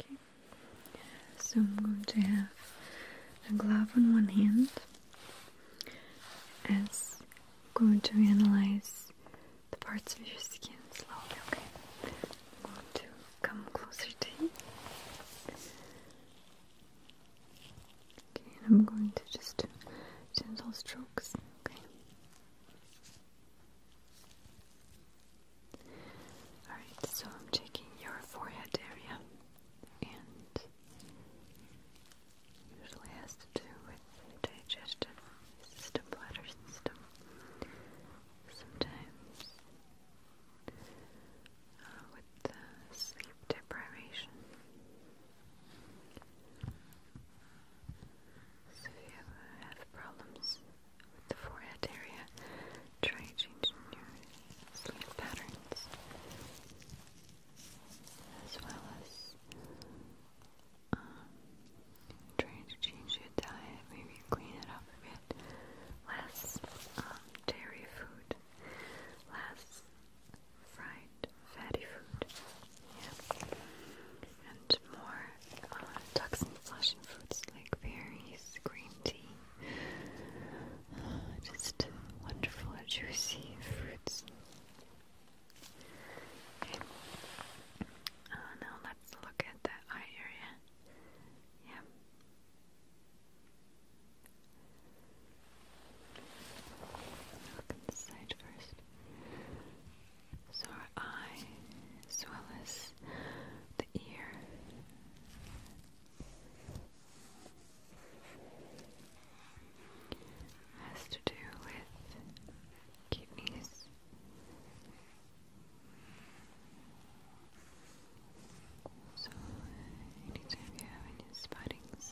Okay. So I'm going to have a glove on one hand as I'm going to analyze the parts of your skin slowly, okay? I'm going to come closer to you. Okay, and I'm going to just do gentle strokes, okay? Alright, so I'm checking your forehead area and usually has to do with digestion system, bladder system. Sometimes uh, with sleep deprivation. So if you have problems with the forehead area. Try changing your sleep patterns as well as um, trying to change your diet, maybe clean it up a bit. Less um, dairy food, less fried fatty food, yeah, and more uh, toxin flushing foods like berries, green tea, uh, just wonderful, juicy fruits. Okay. Uh, now let's look at the eye area. Yeah. Look at the side first. So eye as well as the ear. Has to do with kidneys. So, anytime you have any spottings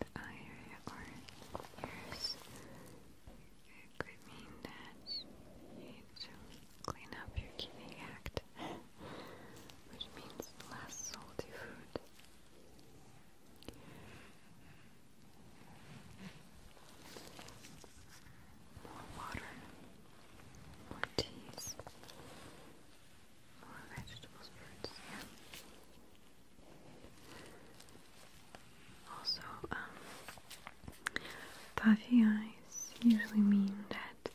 the eye area or ears, it could mean that you clean up your giving act, which means less salty food. More water, more teas, more vegetables, fruits, yeah. Also, um, puffy eyes usually mean that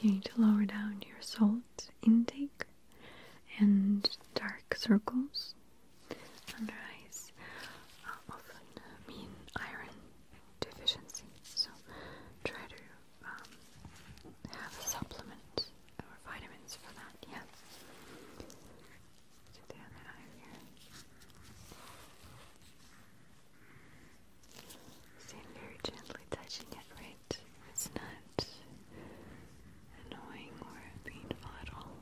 you need to lower down your salt intake and dark circles under eyes um, often mean iron deficiency. So try to um, have a supplement or vitamins for that. Yeah. To the other eye here. See, I'm gently touching it, right? It's not annoying or painful at all.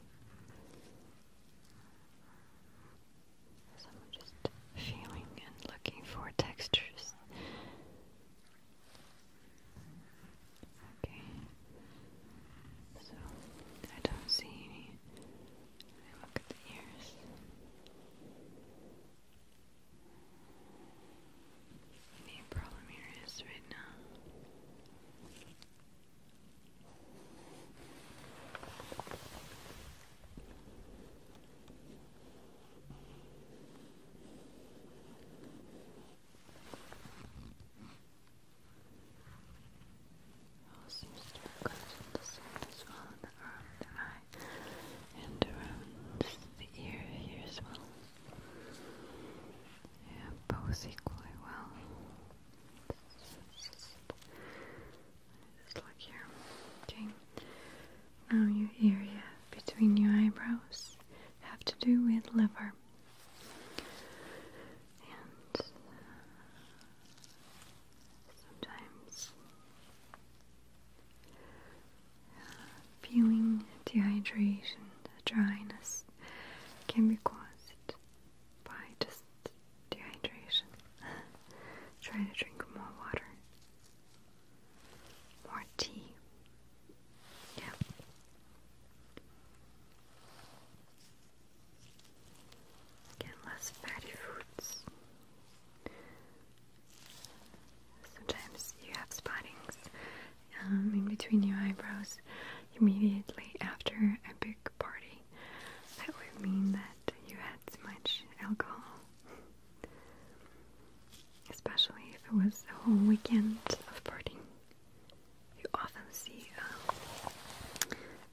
I'm just feeling and looking for textures. Okay, so I don't see any I look at the ears. Any problem here is right now all seems to the side well the arm, the eye, and around the ear here as well. Yeah, both equally well. It's just, just look here. Okay. Now your area between your eyebrows have to do with liver. Uh, sometimes uh, feeling dehydration, dryness can be caused by just dehydration. Try to drink more water, more tea. Yeah. Get less fatty foods. Sometimes you have spottings um, in between your eyebrows immediately after a big party. That would mean that you had too much alcohol, especially if it was a whole weekend of partying. You often see um,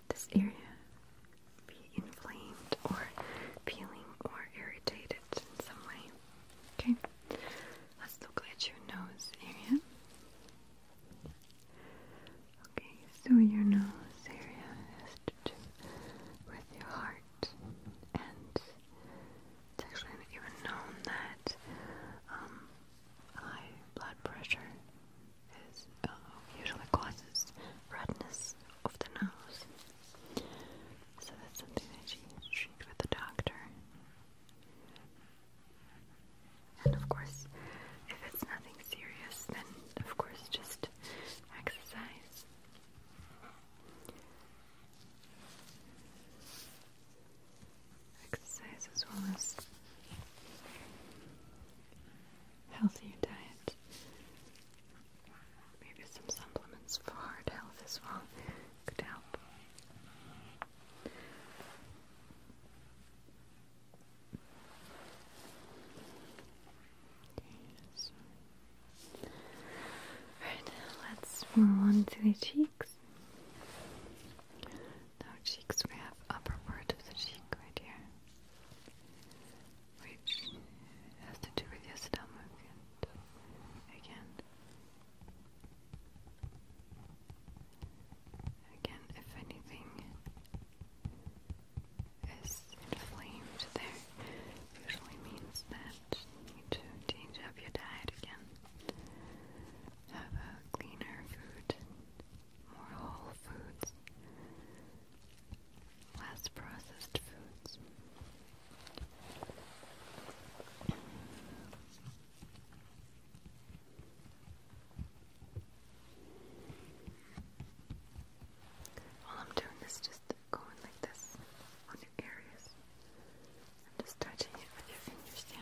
this area be inflamed or peeling or irritated in some way. Okay, let's look at your nose area. Okay, so your nose area has to do with your heart, and it's actually even known that um, high blood pressure is, uh, usually causes redness of the nose. So that's something that you need to the doctor. And of course, if it's nothing serious, then of course just exercise. Exercise as well as healthier diet Maybe some supplements for heart health as well could help. Yes. Alright, let's move on to the cheeks. Now cheeks, we have upper part of the cheek right here which has to do with your stomach and again again if anything is inflamed there usually means that you need to change up your diet again. Have a cleaner food, more whole foods. Last processed foods. All I'm doing is just going like this on your areas. just touching it with your fingers Yeah.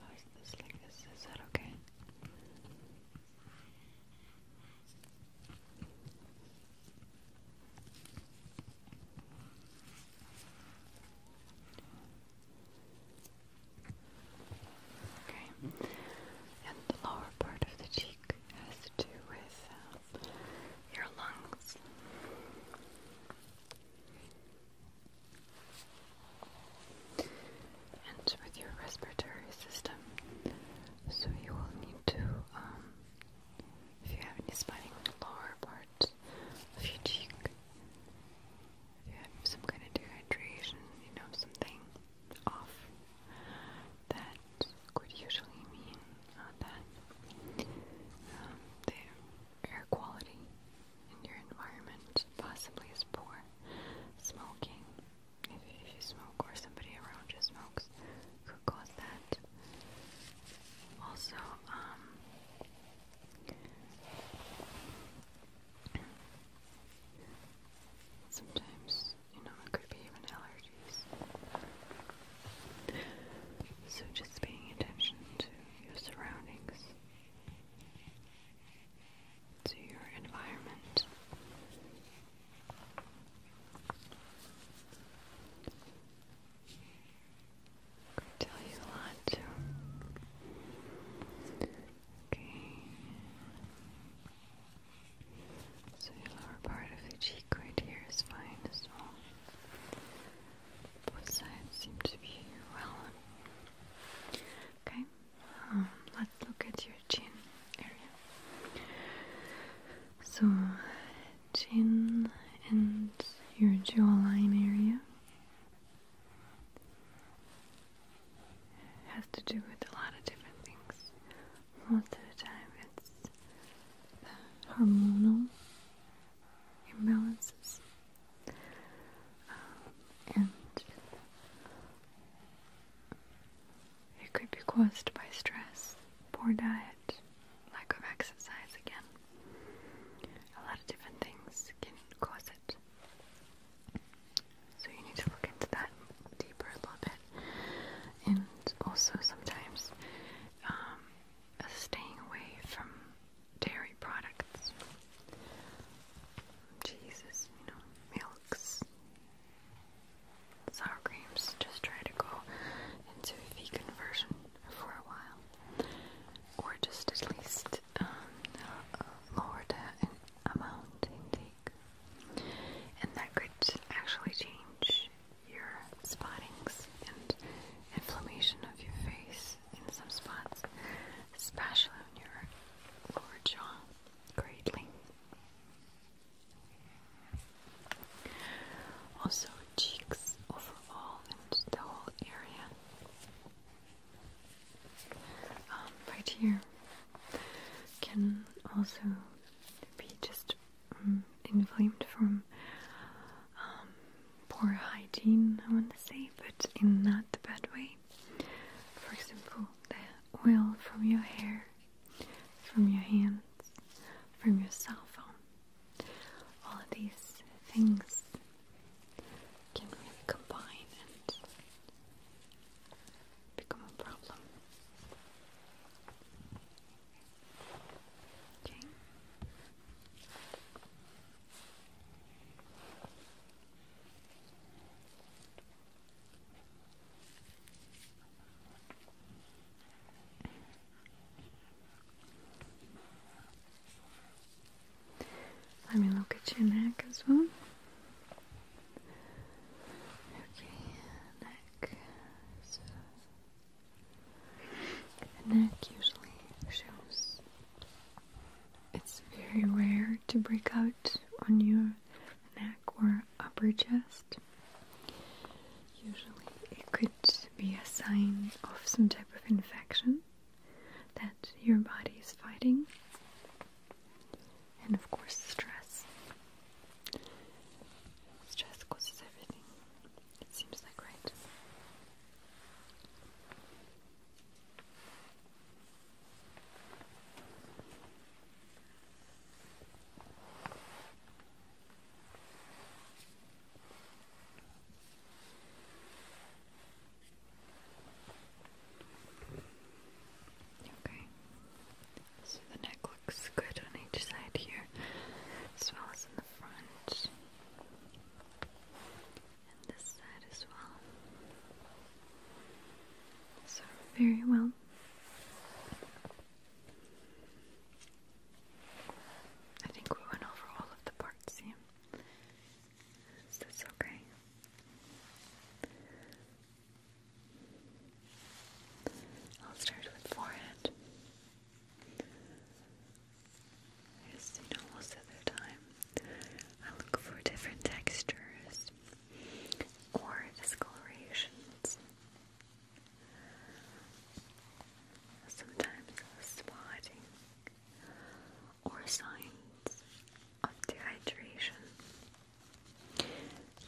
How is this okay? Okay, and the lower part of the cheek has to do with um, your lungs and with your respiratory system. So you will need to, um, if you have any spinning lower part of your cheek, if you have some kind of dehydration, you know, something off, that could usually mean uh, that um, air quality in your environment possibly is poor. Smoking, if, if you smoke or somebody around you smokes, could cause that. Also, um, sometimes, you know, it could be even allergies. So just paying attention to your surroundings, to your environment. could tell you a lot Okay. So your lower part of the cheek right here is fine as well. Both sides seem to be well. Okay, um, let's look at your chin area. So, chin and your jawline area has to do with a lot of different things. Most of the time, it's the hormonal imbalances. Um, and it could be caused by stress, poor diet, lack of exercise again. A lot of different things can cause it. So you need to look into that deeper a little bit. And also sometimes um, staying away from dairy products, cheeses, you know, milks, sour creams. Just try to go into a vegan version for a while, or just at least um, lower the amount intake, and that could actually change your spottings and inflammation of your face in some spots, especially on your jaw, greatly. Also, cheeks overall and the whole area. Um, right here can also be just mm, inflamed from um, poor hygiene, I want to say, but in not the bad way. For example, the oil from your hair, from your hands, from your cell phone. All of these things can really combine and become a problem. Let me look at your neck as well. Okay, neck neck usually shows. It's very rare to break out on your neck or upper chest. Usually, it could be a sign of some type of infection that your body is fighting, and of course, stress. Stress causes everything. It seems like right. Okay. So the neck looks good on each side here, as well as in the front and this side as well. So, very well. I think we went over all of the parts, yeah. Is this okay? I'll start with forehead. As you know, most of the time, I look for different textures or discolorations. Sometimes spotting or signs of dehydration.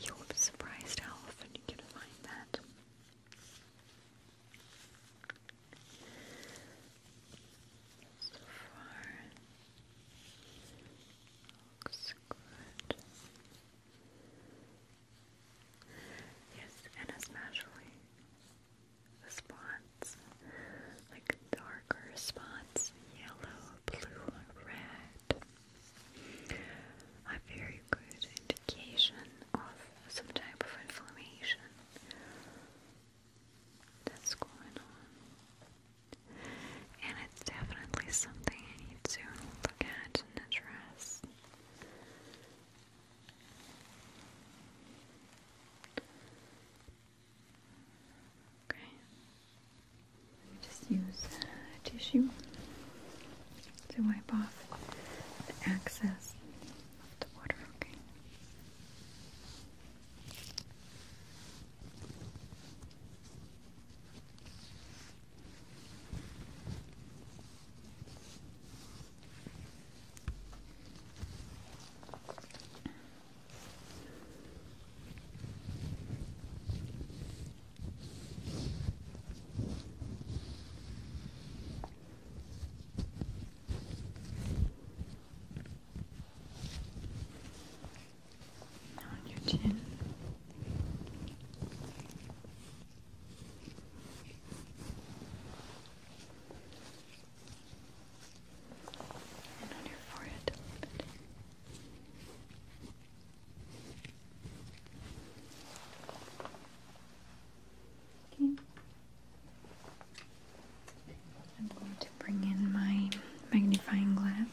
You'll be surprised how often you can find that. So far, looks good. Yes, and especially the spots, like darker spots, yellow, blue, red, are very good indication of some type of inflammation that's going on. And it's definitely something I need to look at and address. Okay. Just use a uh, tissue to wipe off the excess of the water, Okay. Down your chin. And on your forehead Okay. I'm going to bring in my magnifying glass.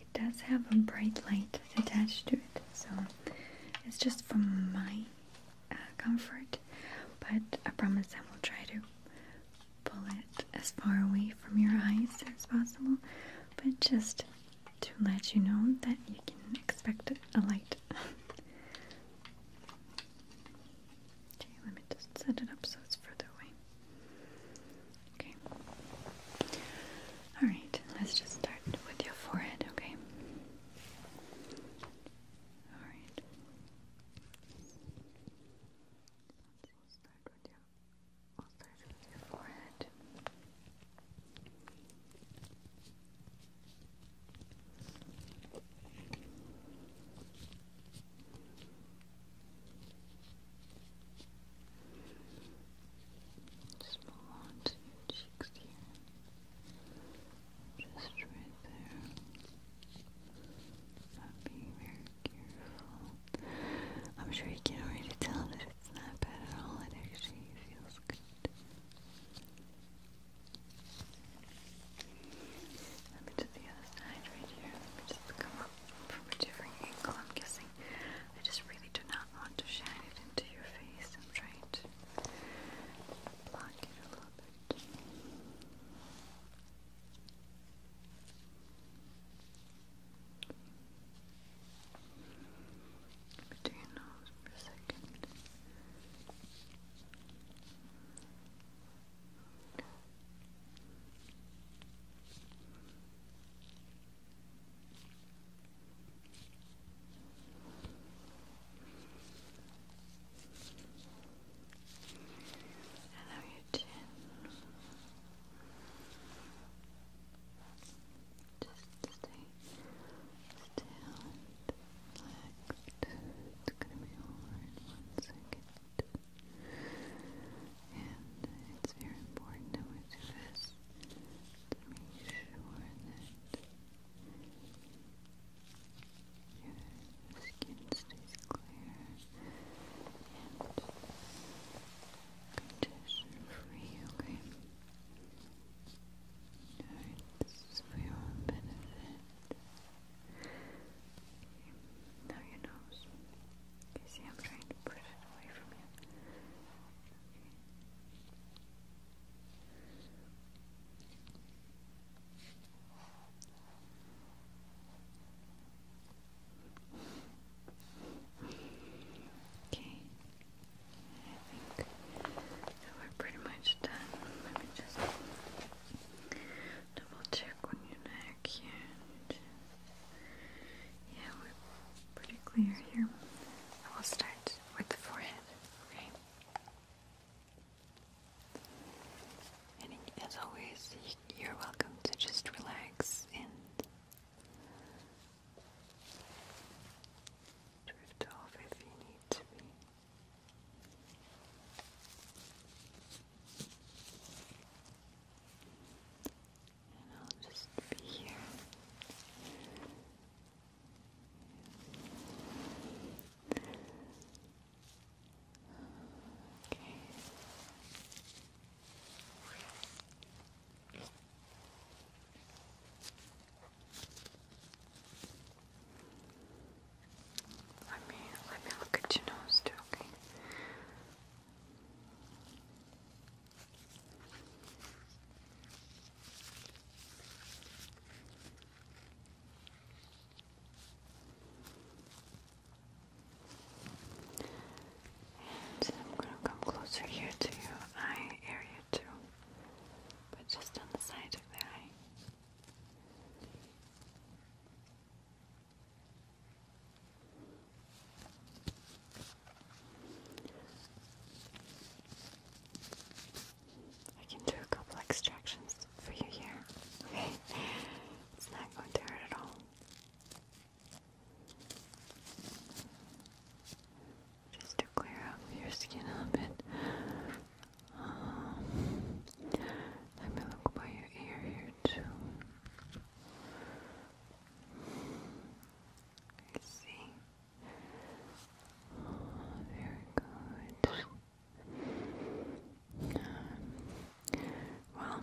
It does have a bright light attached to it, so it's just for my uh, comfort. But I promise I will try to pull it as far away from your eyes as possible, but just to let you know that you can expect a light. Okay, let me just set it up so it's further away. Okay. Alright, let's just start with your forehead, okay? Alright. We'll start start with your forehead. Just move on your cheeks here. Just right there. I'm being very careful. I'm sure you can already tell that it's not bad at all. It actually feels good. Let me do the other side right here. Let me just come up from a different angle. I'm guessing I just really do not want to shine it into your face. I'm trying to block it a little bit. But do you for a second? Allow you chin just stay still it's gonna be over one second. And it's very important that we to make sure that your skin stays clear and congestion free, okay? Alright, this is for your benefit. Okay. Now your nose. Okay, see, I'm trying to push it away from you. Okay. I think we're pretty much done. Let me just double check on your neck here. Yeah, we're pretty clear here. I will start with the forehead, okay? And as always, you're welcome to just relax and drift off if you need to be. And I'll just be here. Okay. Let me let me look at your nose too, okay? And I'm gonna come closer here to your eye area too, but just on the side of the eye. I can do a couple extractions for you here. Okay, it's not going to hurt at all. Just to clear up your skin a bit let me look by your ear here too. I see. Oh, very good. Um, well,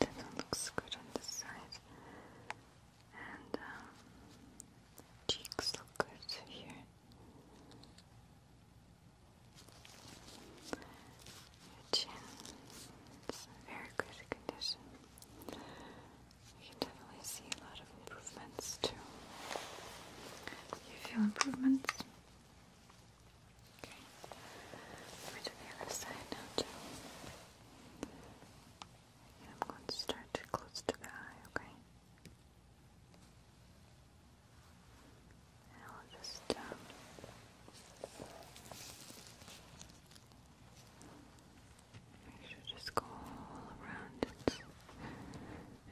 that one looks good on this side. And um, cheeks look good here. Your chin very good condition. You can definitely see a lot of improvements too. You feel improvements? Okay. Let me do the other side now too. I'm going to start close to the eye, Okay. I'll just um, make sure to just go all around it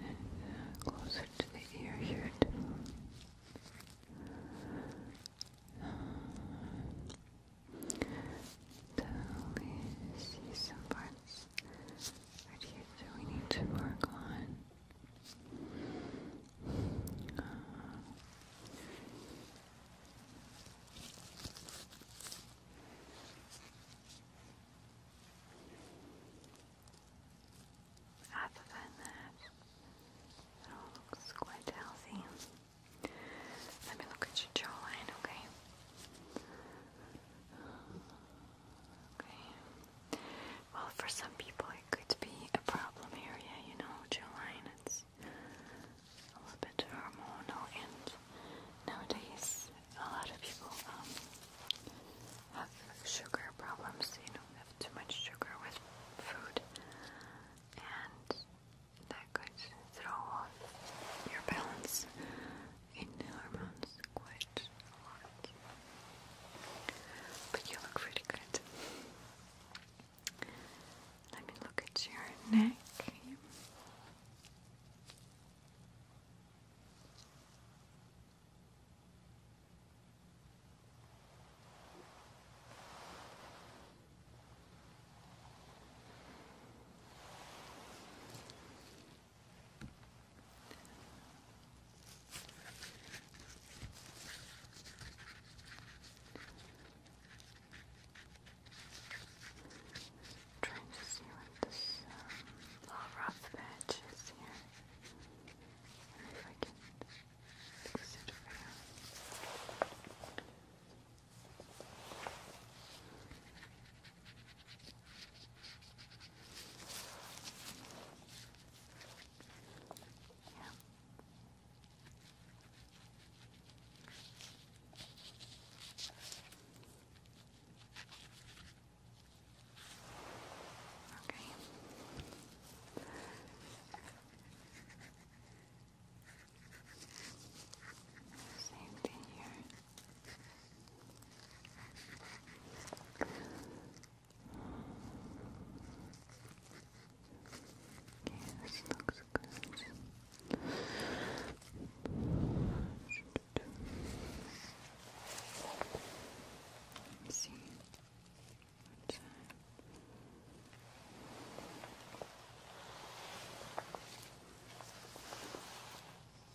uh, closer to the ear here too. Uh, see some parts ideas that we need to work on. other than that, it all looks quite healthy. Let me look at your jawline, okay? Well, for some people it could be a problem area, you know, Juline. It's a little bit hormonal, and nowadays a lot of people um, have sugar problems. You know, have too much sugar with food, and that could throw off your balance in hormones quite a lot. But you look really good. Let me look at your neck i trying to see what this little rough patch is here. And if I can fix it for you. Yeah. Okay. Safety here. Okay, this looks good. Let's see. What's that?